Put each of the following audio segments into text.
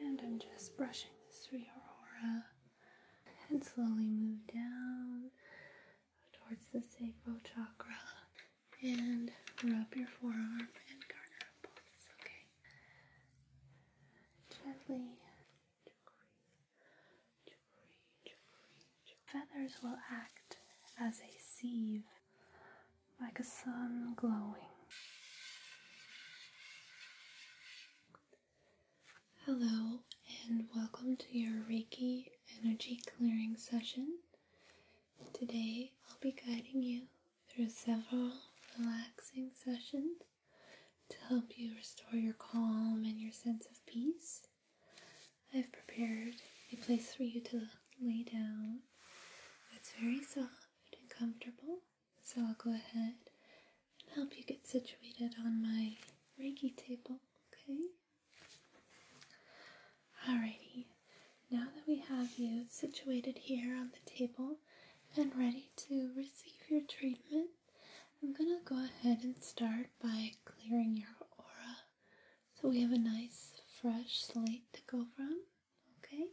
And I'm just brushing this through your aura and slowly move down towards the sacral chakra and rub your forearm and garner up. Okay. Gently Feathers will act as a sieve, like a sun glowing. Hello, and welcome to your Reiki energy clearing session. Today, I'll be guiding you through several relaxing sessions to help you restore your calm and your sense of peace. I've prepared a place for you to lay down It's very soft and comfortable. So I'll go ahead and help you get situated on my Reiki table, okay? Alrighty, now that we have you situated here on the table and ready to receive your treatment, I'm going to go ahead and start by clearing your aura so we have a nice fresh slate to go from, okay?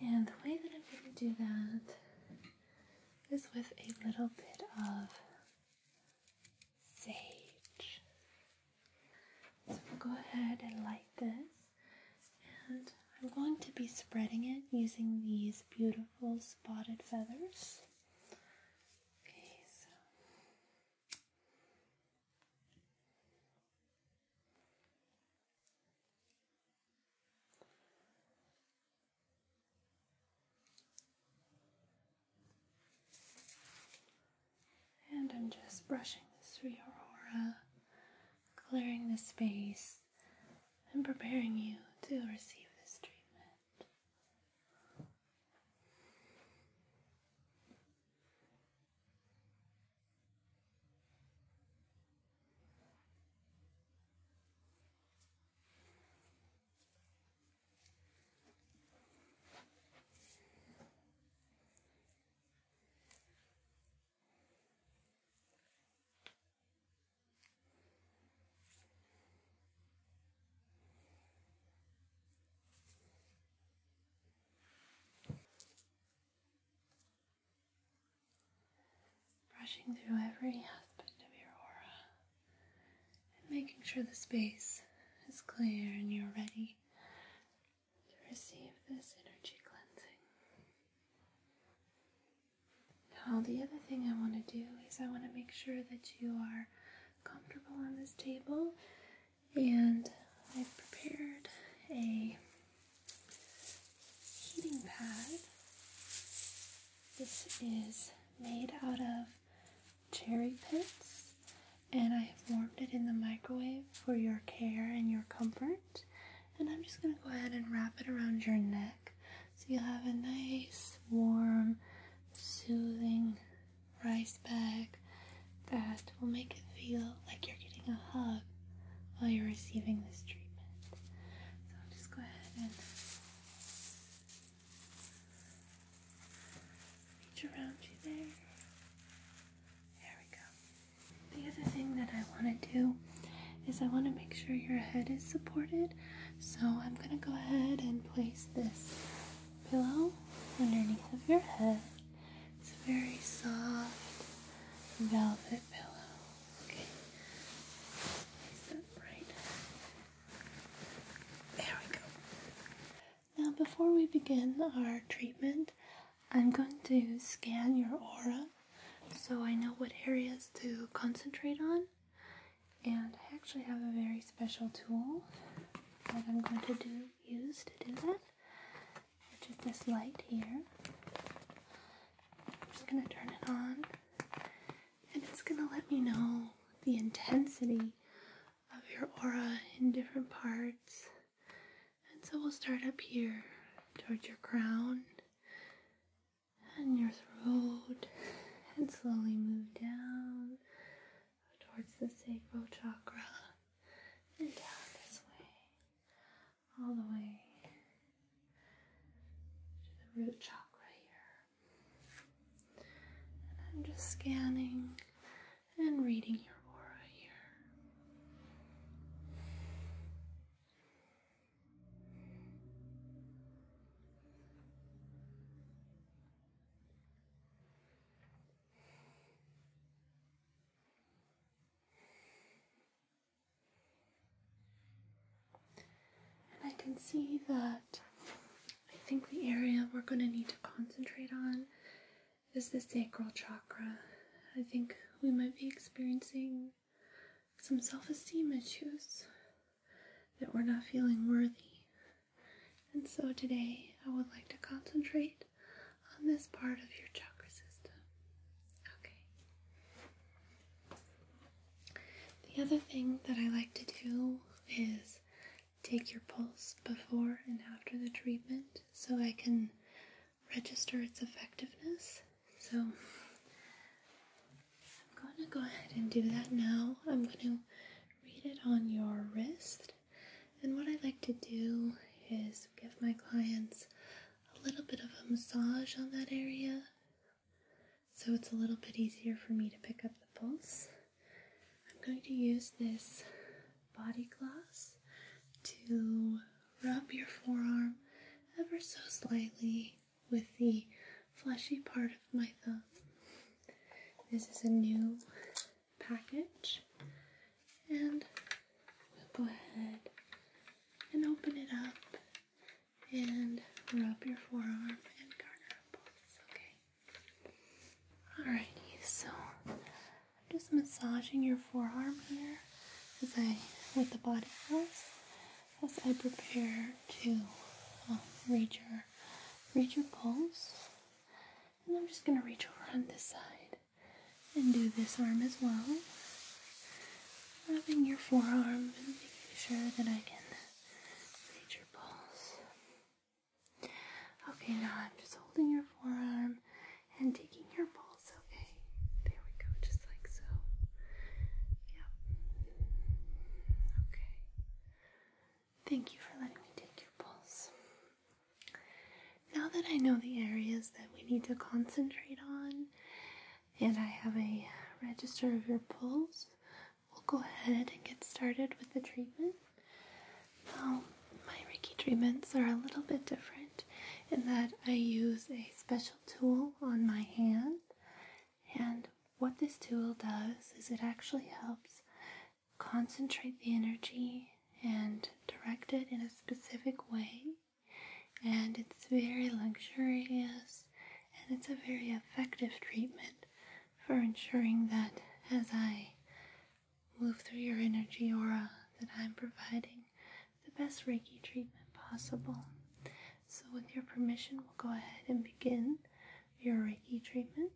And the way that I'm going to do that is with a little bit of sage. So we'll go ahead and light this, and I'm going to be spreading it using these beautiful spotted feathers. Okay, so and I'm just brushing this through your aura, clearing the space I'm preparing you to receive this treatment. Brushing through every aspect of your aura and making sure the space is clear and you're ready to receive this energy cleansing. Now, the other thing I want to do is I want to make sure that you are comfortable on this table, and I've prepared a heating pad. This is made out of cherry pits, and I have warmed it in the microwave for your care and your comfort. And I'm just going to go ahead and wrap it around your neck. So you have a nice, warm, soothing rice bag that will make it feel like you're getting a hug while you're receiving this treatment. So just go ahead and reach around you there. There we go. The other thing that I want to do is I want to make sure your head is supported. So I'm going to go ahead and place this pillow underneath of your head. It's a very soft velvet pillow. Okay. Place that right. There we go. Now before we begin our treatment, I'm going to scan your aura so I know what areas to concentrate on and I actually have a very special tool that I'm going to do use to do that, which is this light here. I'm just going to turn it on, and it's going to let me know the intensity of your aura in different parts. And so we'll start up here towards your crown and your throat, and slowly move down towards the sacral chakra and down this way, all the way to the root chakra here. And I'm just scanning and reading your aura here. And I can see that I think the area we're going to need to concentrate on is the sacral chakra. I think we might be experiencing some self esteem issues that we're not feeling worthy. And so today I would like to concentrate on this part of your chakra system. Okay. The other thing that I like to do is take your pulse before and after the treatment so I can register its effectiveness so I'm going to go ahead and do that now. I'm going to read it on your wrist. And what I like to do is give my clients a little bit of a massage on that area so it's a little bit easier for me to pick up the pulse. I'm going to use this body gloss to rub your forearm ever so slightly with the fleshy part of my thumb. This is a new package, and we'll go ahead and open it up and rub your forearm and garner up pulse, okay? so I'm just massaging your forearm here as I with the body pulse as I prepare to um, read your read your pulse. And I'm just gonna reach over on this side and do this arm as well. Rubbing your forearm and making sure that I can read your pulse. Okay, now I'm just holding your forearm and taking your pulse. Okay, there we go. Just like so. Yep. Okay. Thank you for letting me take your pulse. Now that I know the areas that we need to concentrate on, and I have a register of your pulse, we'll go ahead and get started with the treatment. Now, my Reiki treatments are a little bit different in that I use a special tool on my hand and what this tool does is it actually helps concentrate the energy and direct it in a specific way. And it's very luxurious and it's a very effective treatment for ensuring that as I move through your energy aura that I'm providing the best Reiki treatment possible. So, with your permission, we'll go ahead and begin your Reiki treatment.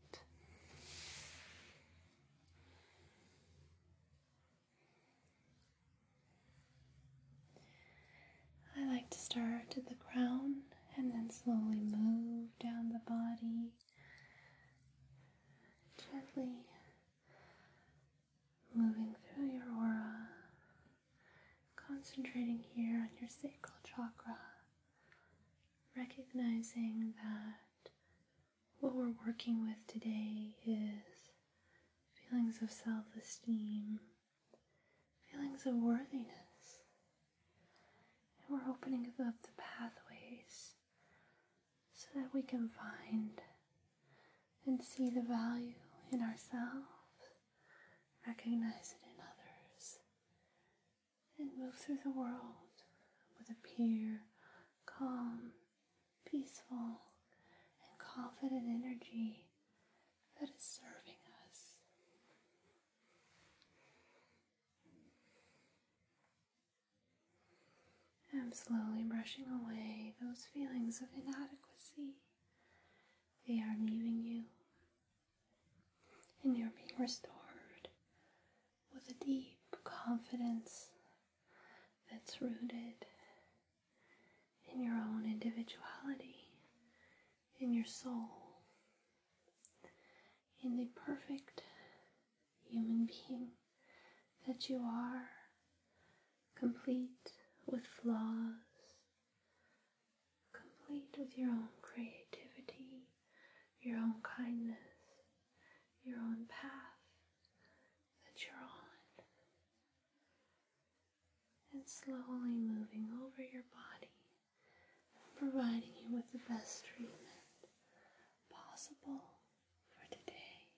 I like to start at the crown and then slowly move down the body, gently moving through your aura Concentrating here on your sacral chakra, recognizing that what we're working with today is feelings of self esteem, feelings of worthiness. And we're opening up the pathways so that we can find and see the value in ourselves recognize it in others, and move through the world with a pure, calm, peaceful, and confident energy that is serving us. I'm slowly brushing away those feelings of inadequacy they are leaving you, and you're being restored with a deep confidence that's rooted in your own individuality, in your soul, in the perfect human being that you are, complete with flaws complete with your own creativity, your own kindness, your own path that you're on, and slowly moving over your body, providing you with the best treatment possible for today.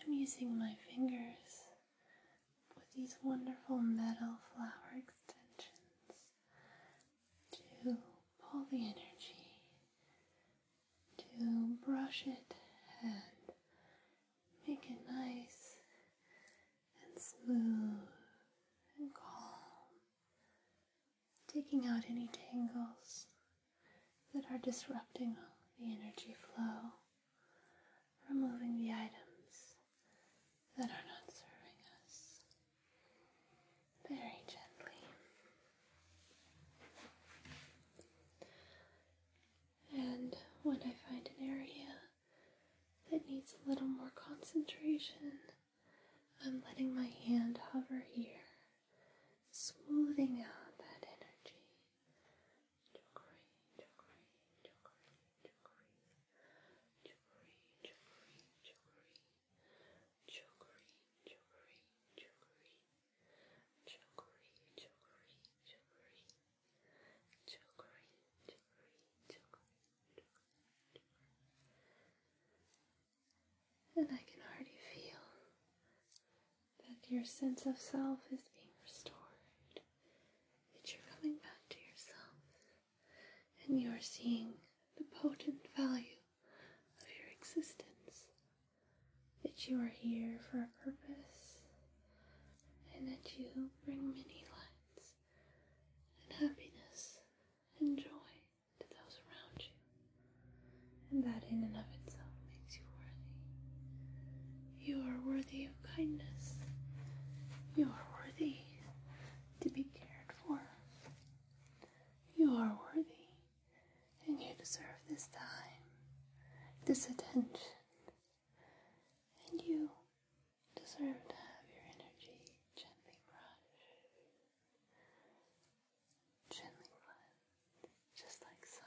I'm using my fingers with these wonderful metal flower extensions to pull the energy, to brush it and make it nice and smooth and calm, taking out any tangles that are disrupting the energy flow removing the items that are not serving us very gently. And when I find an area that needs a little more concentration, I'm letting my hand hover here, smoothing out that energy Chukri, chukri, chukri, chukri, chukri, chukri, chukri, chukri, chukri, chukri, chukri, chukri, chukri, chukri, chukri, and I can already feel that your sense of self is being restored that you're coming back to yourself and you are seeing the potent value of your existence. That you are here for a purpose and that you bring many lights and happiness and joy to those around you. And that in and of itself makes you you are worthy of kindness. You are worthy to be cared for. You are worthy, and you deserve this time, this attention, and you deserve to have your energy gently brushed, gently cleansed, just like so.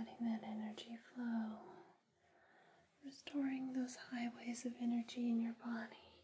Letting that energy flow, restoring those highways of energy in your body.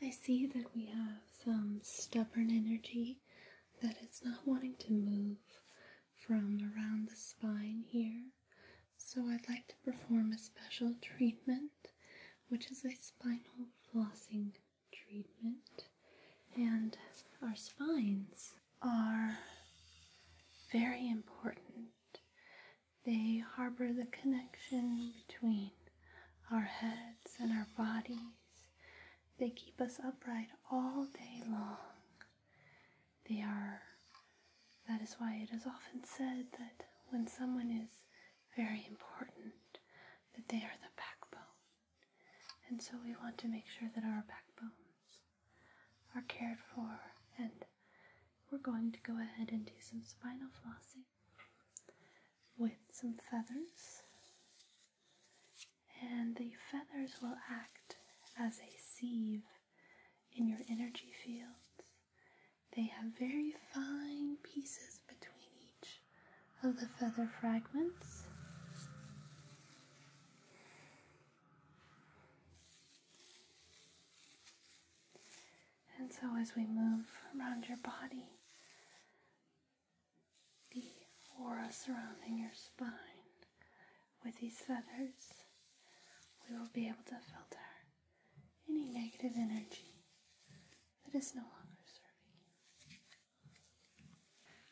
I see that we have some stubborn energy that is not wanting to move from around the spine here. So, I'd like to perform a special treatment, which is a spinal flossing treatment. And our spines are very important, they harbor the connection between our heads and our bodies. They keep us upright all day long. They are, that is why it is often said that when someone is very important, that they are the backbone. And so we want to make sure that our backbones are cared for, and we're going to go ahead and do some spinal flossing with some feathers, and the feathers will act as a sieve in your energy fields. They have very fine pieces between each of the feather fragments. And so, as we move around your body, the aura surrounding your spine with these feathers, we will be able to filter any negative energy that is no longer serving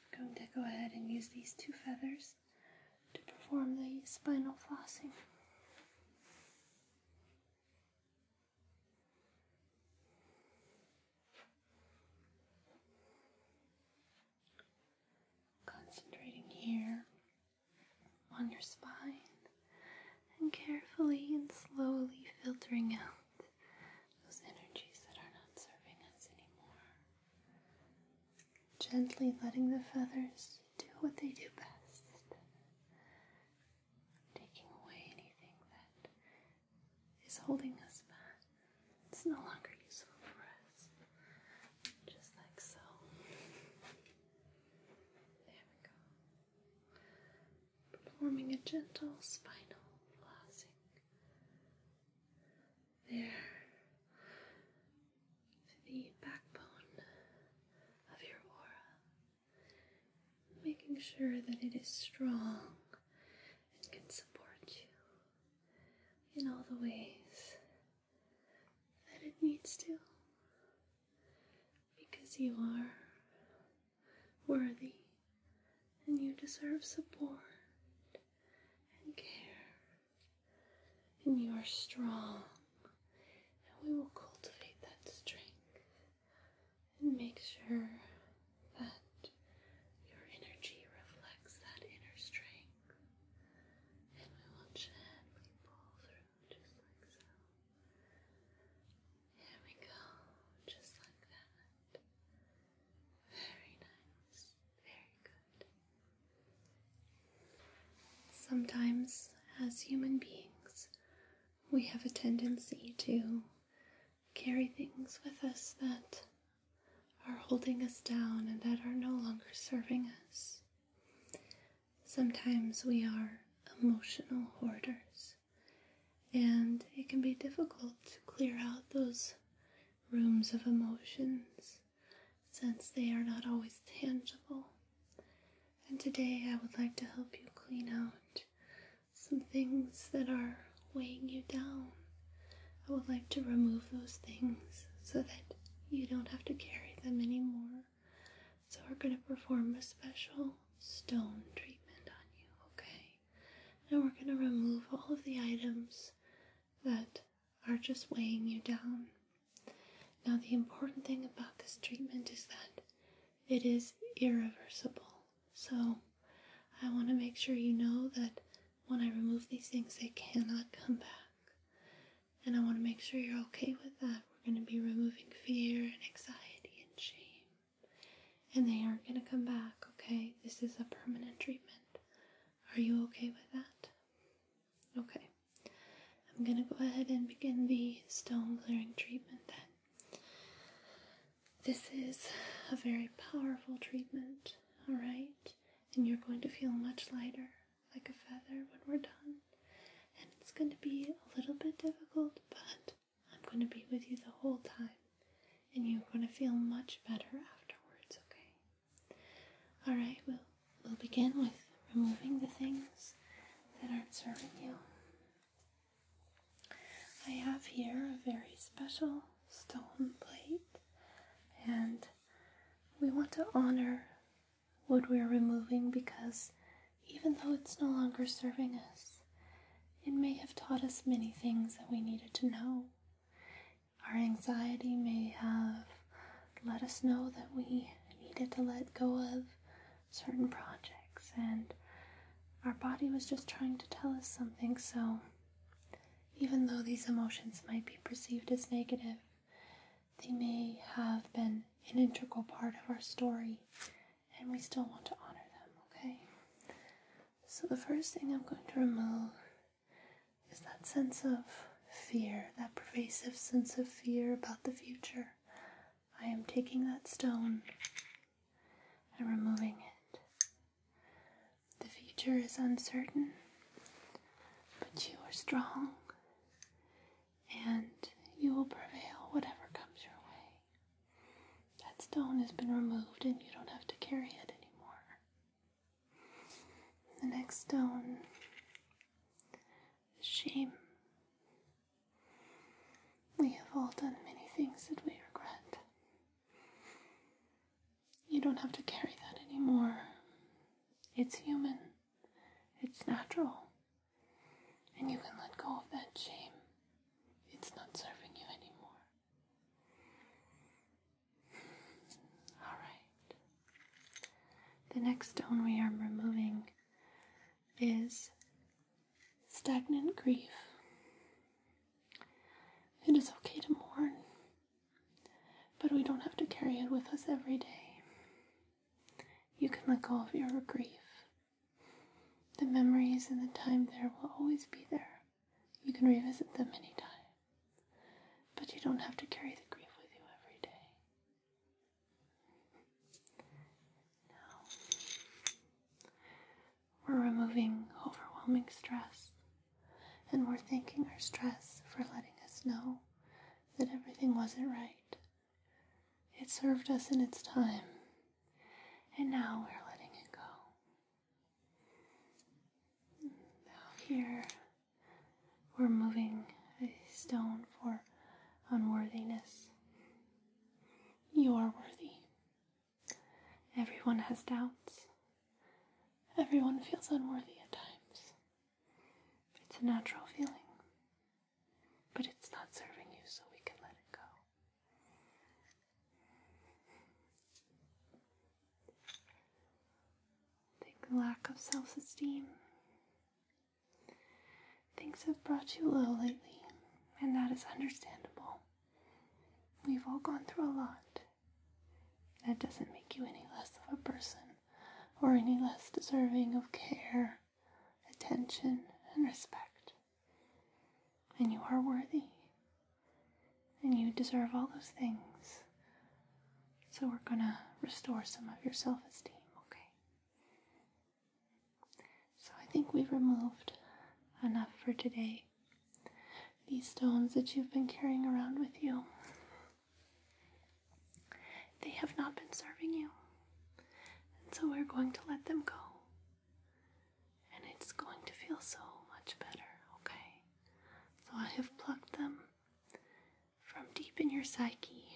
I'm going to go ahead and use these two feathers to perform the spinal flossing. Concentrating here on your spine and carefully and slowly filtering out those energies that are not serving us anymore. Gently letting the feathers do what they do best taking away anything that is holding us back. It's no longer useful for us. Just like so. There we go. Performing a gentle spinal flossing. There. the backbone of your aura making sure that it is strong and can support you in all the ways that it needs to because you are worthy and you deserve support and care and you are strong and we will cultivate that strength and make sure that your energy reflects that inner strength. And we will gently pull through just like so. There we go, just like that. Very nice, very good. Sometimes, as human beings, we have a tendency to carry things with us that are holding us down and that are no longer serving us. Sometimes we are emotional hoarders, and it can be difficult to clear out those rooms of emotions since they are not always tangible. And today I would like to help you clean out some things that are weighing you down. I would like to remove those things so that you don't have to carry them anymore. So, we're going to perform a special stone treatment on you, okay? And we're going to remove all of the items that are just weighing you down. Now, the important thing about this treatment is that it is irreversible. So I want to make sure you know that when I remove these things, they cannot come back. And I want to make sure you're okay with that. We're going to be removing fear and anxiety and shame. And they aren't going to come back, okay? This is a permanent treatment. Are you okay with that? Okay. I'm going to go ahead and begin the stone clearing treatment then. This is a very powerful treatment, alright? And you're going to feel much lighter, like a feather, when we're done. And it's going to be a little bit difficult, but I'm going to be with you the whole time. And you're going to feel much better afterwards, okay? Alright, we'll, we'll begin with removing the things that aren't serving you. I have here a very special stone plate, and we want to honor what we're removing because even though it's no longer serving us, it may have taught us many things that we needed to know. Our anxiety may have let us know that we needed to let go of certain projects, and our body was just trying to tell us something. So, even though these emotions might be perceived as negative, they may have been an integral part of our story, and we still want to honor them, okay? So, the first thing I'm going to remove is that sense of fear, that pervasive sense of fear about the future, I am taking that stone and removing it. The future is uncertain, but you are strong and you will prevail whatever comes your way. That stone has been removed and you don't have to carry it anymore. The next stone is shame. We have all done many things that we regret. You don't have to carry that anymore. It's human, it's natural, and you can let go of that shame. It's not serving you anymore. Alright. The next stone we are removing is stagnant grief. It is okay to mourn, but we don't have to carry it with us every day. You can let go of your grief. The memories and the time there will always be there. You can revisit them anytime, but you don't have to carry the grief with you every day. Now we're removing overwhelming stress and we're thanking our stress for letting us know that everything wasn't right. It served us in its time, and now we're letting it go. Now, here we're moving a stone for unworthiness. You are worthy. Everyone has doubts. Everyone feels unworthy at times. It's a natural feeling. But it's not serving you, so we can let it go. Take lack of self esteem Things have brought you low lately, and that is understandable. We've all gone through a lot. That doesn't make you any less of a person or any less deserving of care, attention, and respect. And you are worthy. And you deserve all those things. So we're gonna restore some of your self esteem, okay? So I think we've removed enough for today. These stones that you've been carrying around with you, they have not been serving you. And so we're going to let them go. And it's going to feel so much better, okay? So I have plucked them from deep in your psyche.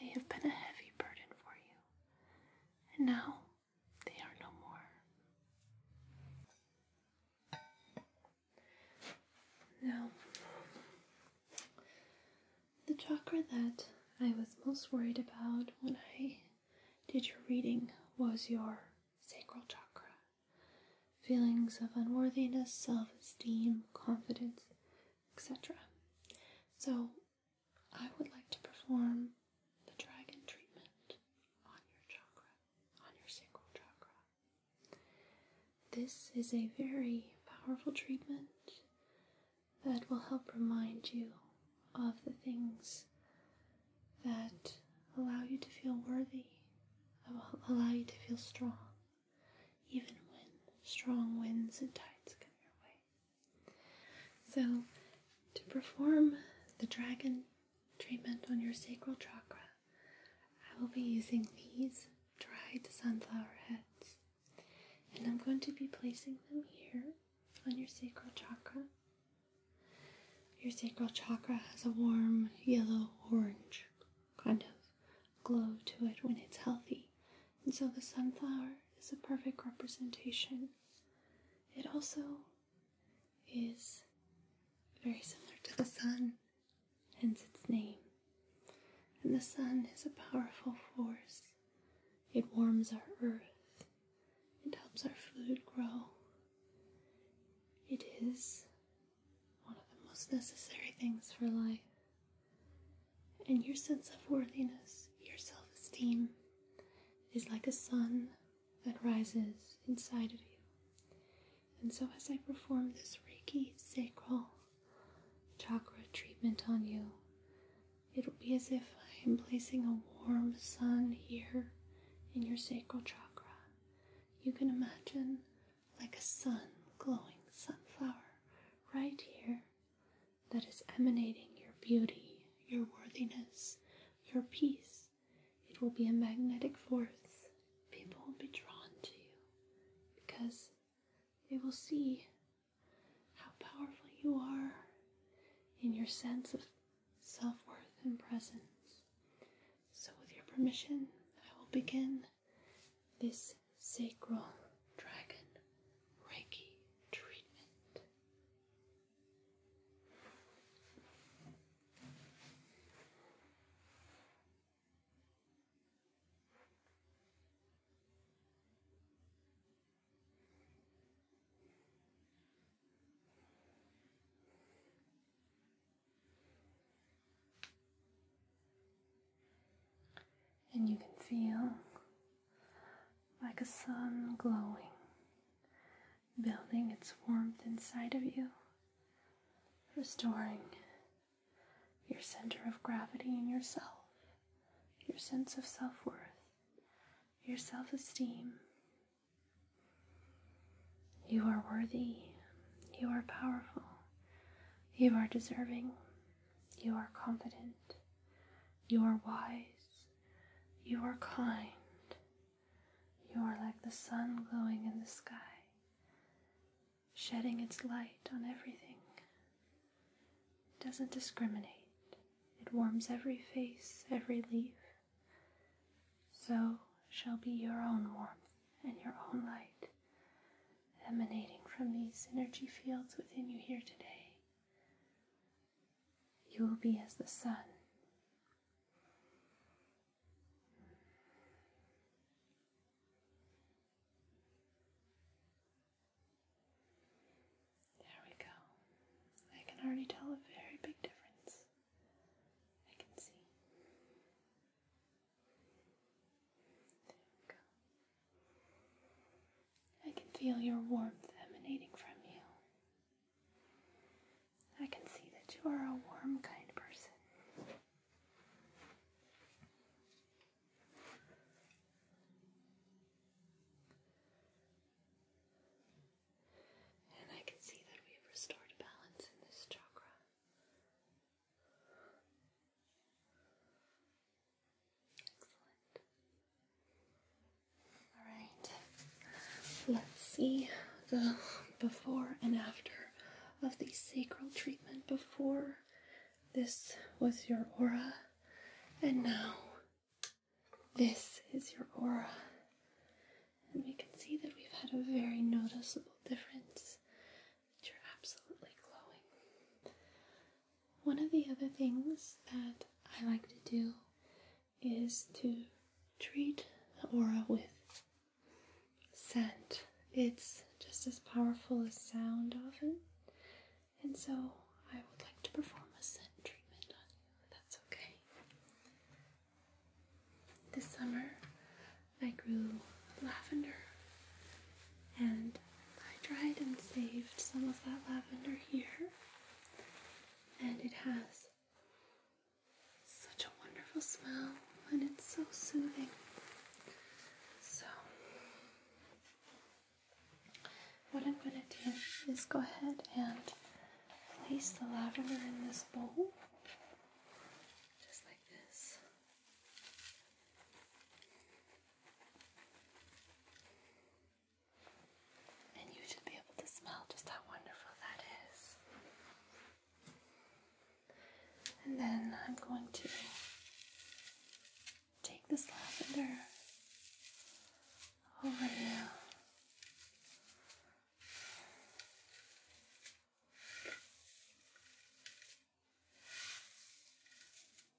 They have been a heavy burden for you and now they are no more. Now, the chakra that I was most worried about when I did your reading was your sacral chakra. Feelings of unworthiness, self esteem, confidence, etc. So, I would like to perform the dragon treatment on your chakra, on your sacral chakra. This is a very powerful treatment that will help remind you of the things that allow you to feel worthy, that allow you to feel strong, even when strong winds and tides come your way. So, to perform the dragon treatment on your sacral chakra, I will be using these dried sunflower heads. And I'm going to be placing them here on your sacral chakra. Your sacral chakra has a warm yellow orange kind of glow to it when it's healthy. And so the sunflower is a perfect representation. It also is very similar to the sun, hence its name. And the sun is a powerful force. It warms our earth, it helps our food grow. It is one of the most necessary things for life. And your sense of worthiness, your self esteem, is like a sun that rises inside of you. And so, as I perform this Reiki sacral chakra treatment on you, it'll be as if I am placing a warm sun here in your sacral chakra. You can imagine like a sun glowing sunflower right here that is emanating your beauty, your worthiness, your peace. It will be a magnetic force. People will be drawn to you because they will see how powerful you are in your sense of self worth and presence. So, with your permission, I will begin this sacred dragon Reiki treatment. And you can feel like a sun glowing, building its warmth inside of you, restoring your center of gravity in yourself, your sense of self worth, your self esteem. You are worthy, you are powerful, you are deserving, you are confident. You are wise. You are kind. You are like the sun glowing in the sky, shedding its light on everything. It doesn't discriminate, it warms every face, every leaf. So shall be your own warmth and your own light emanating from these energy fields within you here today. You will be as the sun. There we go. I can already tell a very big difference. I can see. There we go. I can feel your warmth emanating from you. I can see that you are a warm, kind person. And I can see that we've restored balance in this chakra. Excellent. Alright, let's see the before and after of the sacral treatment. Before this was your aura, and now this is your aura. And we can see that we've had a very noticeable difference. That you're absolutely glowing. One of the other things that I like to do is to treat the aura with scent. It's just as powerful as sound often, and so I would like to perform a scent treatment on you, that's okay. This summer I grew lavender and I dried and saved some of that lavender here, and it has such a wonderful smell and it's so soothing. So, what I'm going to do is go ahead and place the lavender in this bowl, just like this. And you should be able to smell just how wonderful that is. And then I'm going to take this lavender over you.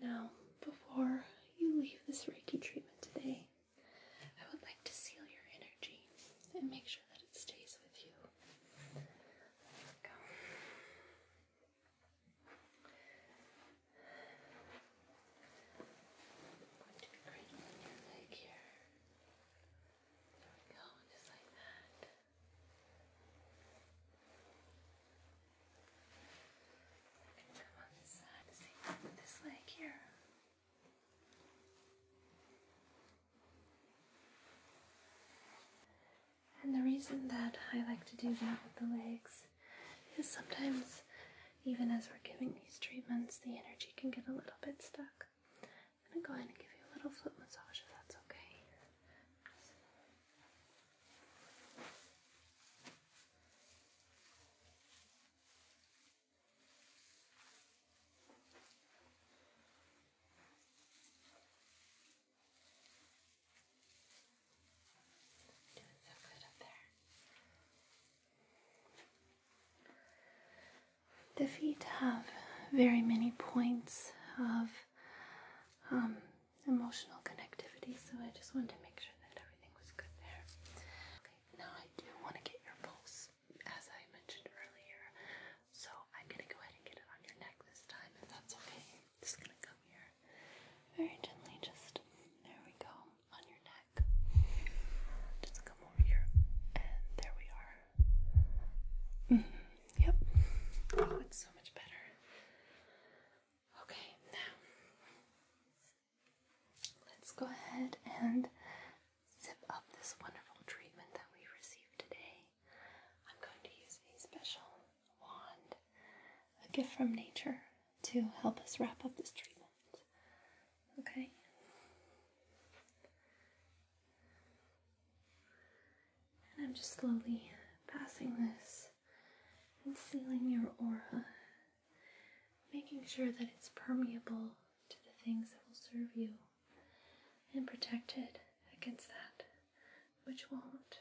Now, before you leave this Reiki treatment today, I would like to seal your energy and make sure that it stays with you. go. And come on this side, see this leg here. And the reason that I like to do that with the legs is sometimes, even as we're giving these treatments, the energy can get a little bit stuck. I'm going to give you a little foot massage if that's okay. The feet have very many points of um, emotional connectivity, so I just wanted to make sure that everything was good there. Okay, now I do want to get your pulse, as I mentioned earlier, so I'm going to go ahead and get it on your neck this time, if that's okay. just going to come here very gently, just there we go, on your neck. Just come over here, and there we are. Mm-hmm, yep. Oh, it's so much better. Okay, now let's go ahead and zip up this wonderful treatment that we received today. I'm going to use a special wand, a gift from nature, to help us wrap up this treatment. Okay? And I'm just slowly passing this and sealing your aura, making sure that it's permeable to the things that will serve you and protected against that which won't.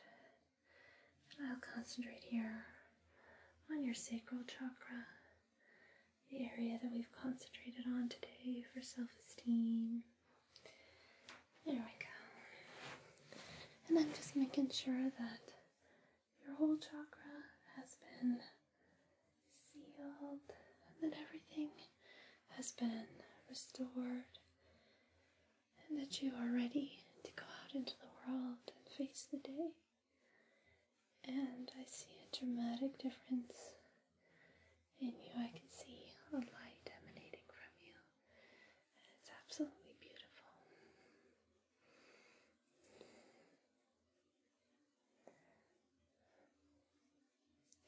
I'll concentrate here on your sacral chakra, the area that we've concentrated on today for self esteem, there we go. And I'm just making sure that your whole chakra has been sealed and that everything has been restored and that you are ready to go out into the world and face the day. And I see a dramatic difference in you. I can see a light emanating from you, and it's absolutely beautiful.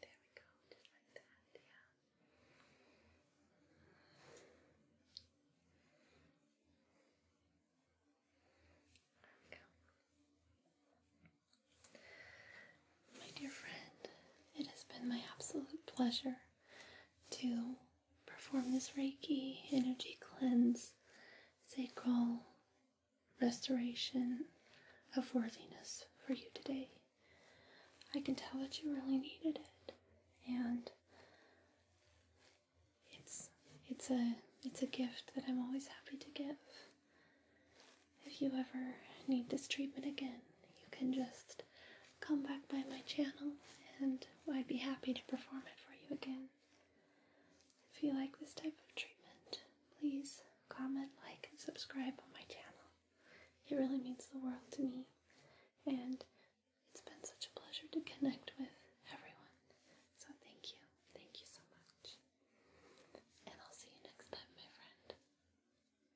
There we go, just like that, yeah. There we go. My dear friend, it has been my absolute pleasure to perform this Reiki energy cleanse, sacral restoration of worthiness for you today. I can tell that you really needed it, and it's it's a it's a gift that I'm always happy to give. If you ever need this treatment again, you can just come back by my channel and I'd be happy to perform it for you again. If you like this type of treatment, please comment, like, and subscribe on my channel. It really means the world to me, and it's been such a pleasure to connect with everyone. So, thank you. Thank you so much. And I'll see you next time, my friend.